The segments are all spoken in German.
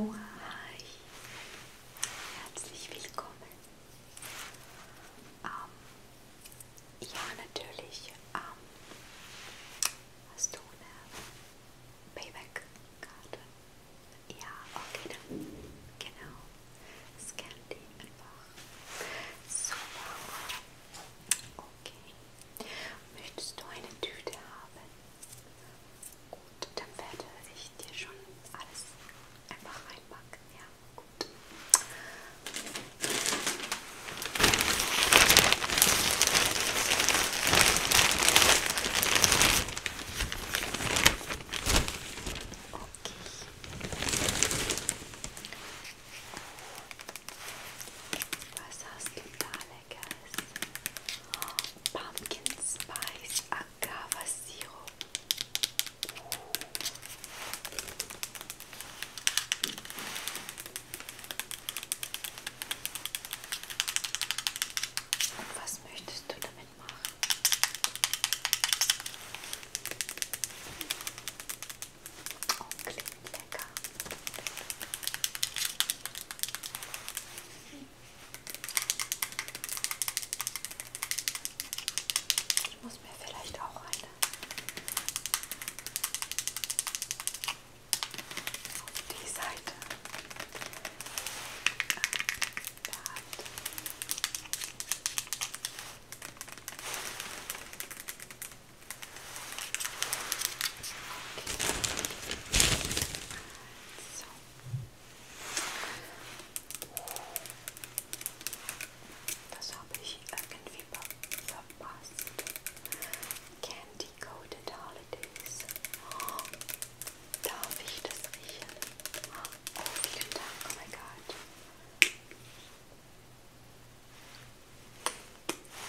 Oh, hi. Herzlich willkommen. Ähm, ja, natürlich. Ähm, hast du eine Payback-Karte? Ja, okay, dann. Genau. Scan die einfach. Super. Okay. Möchtest du eine Tüte haben? Gut, dann werde ich dir schon alles einfach reinpacken. Ja, gut. Okay. Was hast du da leckeres? Oh, Pumpkin Spice Agave Sirup. Und was möchtest du damit machen? Oh, klingt lecker. Ich muss mir vielleicht auch eine auf die Seite behalten. So. Das habe ich irgendwie verpasst. Candy Coated Holidays. Oh, darf ich das riechen? Oh, vielen Dank, oh mein Gott.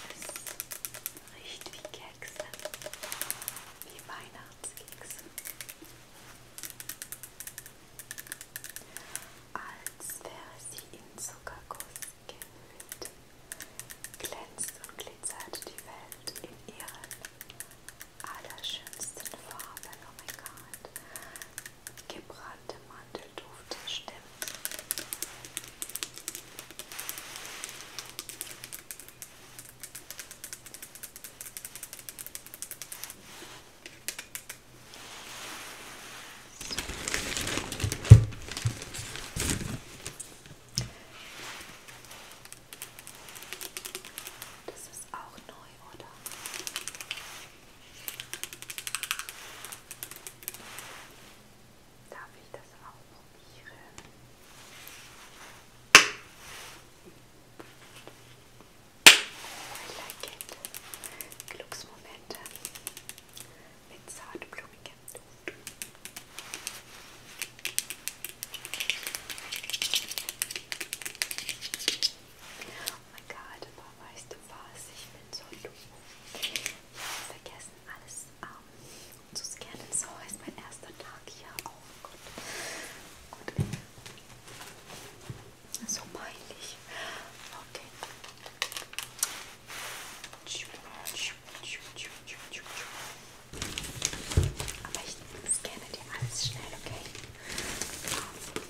Es riecht wie Kekse, wie Weihnachtskekse. Als wäre sie in Zuckerguss gehüllt, glänzt und glitzert die Welt in ihren allerschönsten Farben. Oh mein Gott, gebrannte Mandelduft stimmt. Das ist auch neu, oder? Darf ich das auch probieren? Oh, I like it. Glücksmomente mit zartblumigem Duft mein Gott, aber weißt du was? Ich bin so doof. Ich habe vergessen, alles um, ähm, zu scannen. So ist mein erster Tag hier. Oh Gott. Gut. So peinlich. Okay. Aber ich scanne dir alles schnell, okay? Ähm.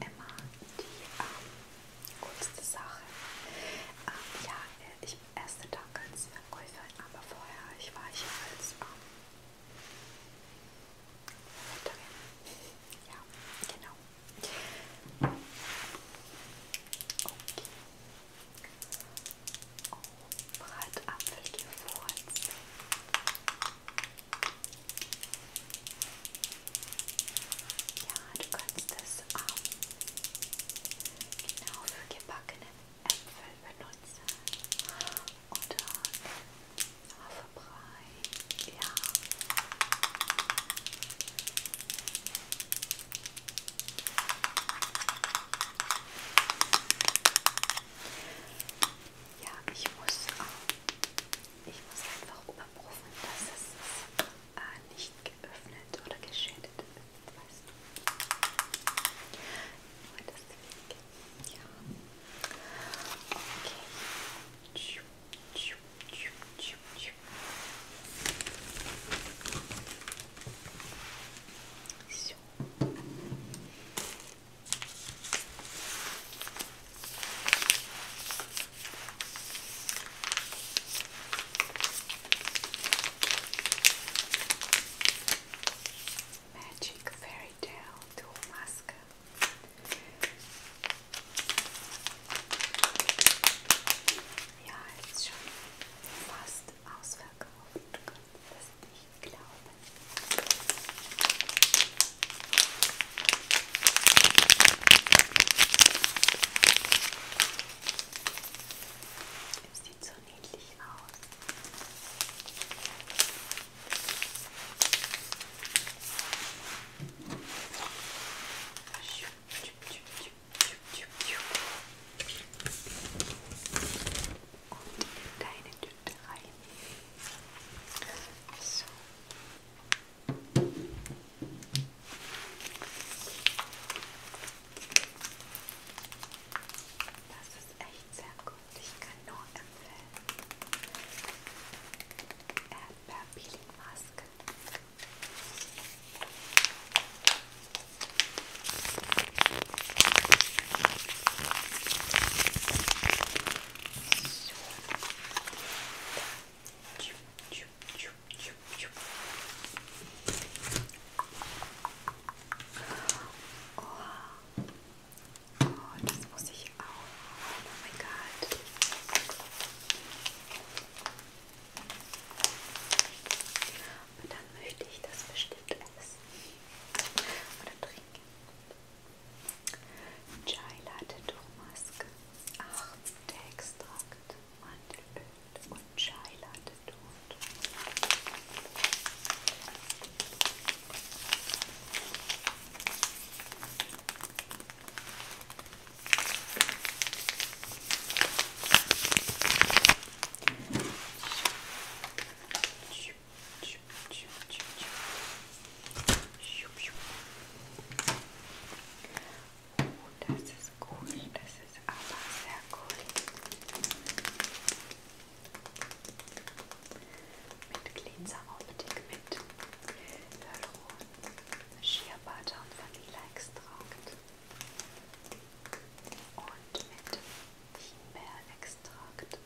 immer die ähm, coolste Sache. Ähm, ja, äh, ich bin erste Tag als Verkäuferin, aber vorher ich war ich als ähm, Verkäuferin. Ja, genau. Okay. Oh, Bratapfel gefurzt. Ja, du kannst das auch ähm, genau für gebackene Äpfel benutzen oder Haferbrei. Ja. Ja, ich muss auch ähm, ich muss einfach überprüfen, dass es äh, nicht geöffnet oder geschädigt ist. Weißt du? Nur deswegen. Ja. Okay. Tschuh, tschuh, tschuh, tschuh, tschuh. So. Magic Fairy Tale to Alaska. Ja, jetzt schon fast ausverkauft. Gott, das ich glaube. Es sieht so niedlich aus. Und in deine Tüte drei. So. Das ist echt sehr gut. Ich kann nur empfehlen. Erdbeer-Peeling-Maske. Oh. oh, das muss ich auch. Oh mein Gott. Und dann möchte ich das bestimmt essen. Oder trinken. Chai Latte Turmmaske, 8 Extrakt, Mandelöl und Chai Latte Tod. Schön. Oh, das ist cool. Das ist aber sehr cool. Mit Cleanser-Optik, mit Hyaluron, Shea Butter und Vanilleextrakt. Und mit Himbeerextrakt.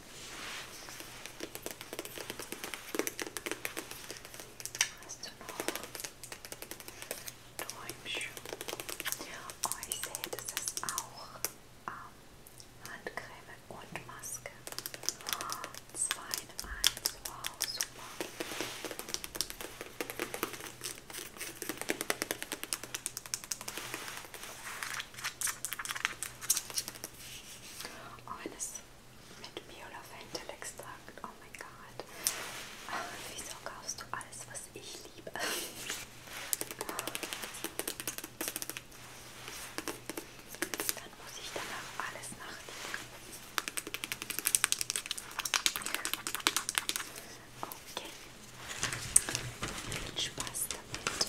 Hast du noch Däumchen? Oh, ich sehe, das ist auch ähm, Handcreme und Maske. Oh, zwei in eins. Wow, super. Oh, wenn es mit Biolafentelextrakt. Oh mein Gott. Ach, wieso kaufst du alles, was ich liebe? Dann muss ich danach alles nachdenken. Okay. Viel Spaß damit.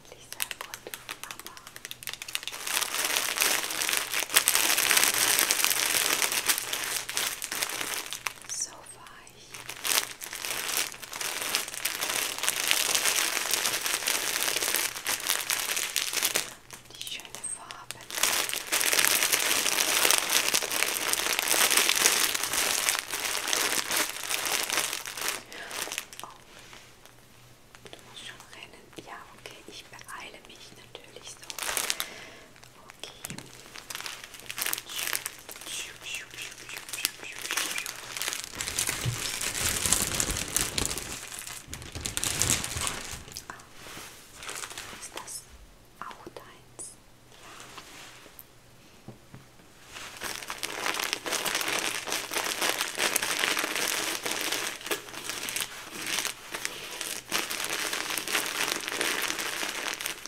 eigentlich sehr gut, aber so weich. Die schöne Farbe. Oh, Du musst schon rennen. Ja, okay, ich beeile mich natürlich so. Okay. Ah, ist das auch deins? Ja.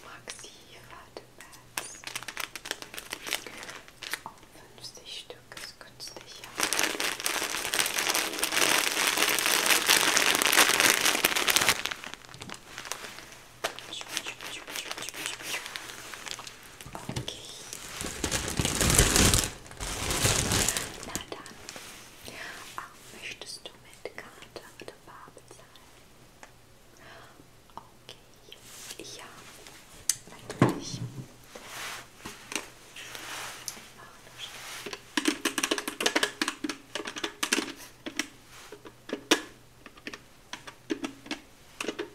Maxi Radepads. Auch 50 Stück ist günstiger. Okay. Na dann. Auch möchtest du mit Karte oder Bar bezahlen? Okay. Ja, natürlich. Ich mache das schon. Okay.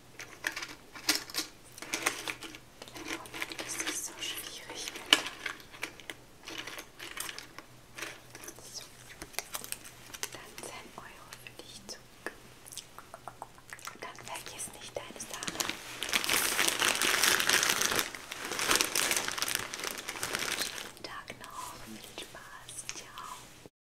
Im Moment ist es so schwierig mit. So. Dann 10 Euro für dich zurück. Und dann vergiss nicht deine Sache. Schönen Tag noch. Viel Spaß. Ciao.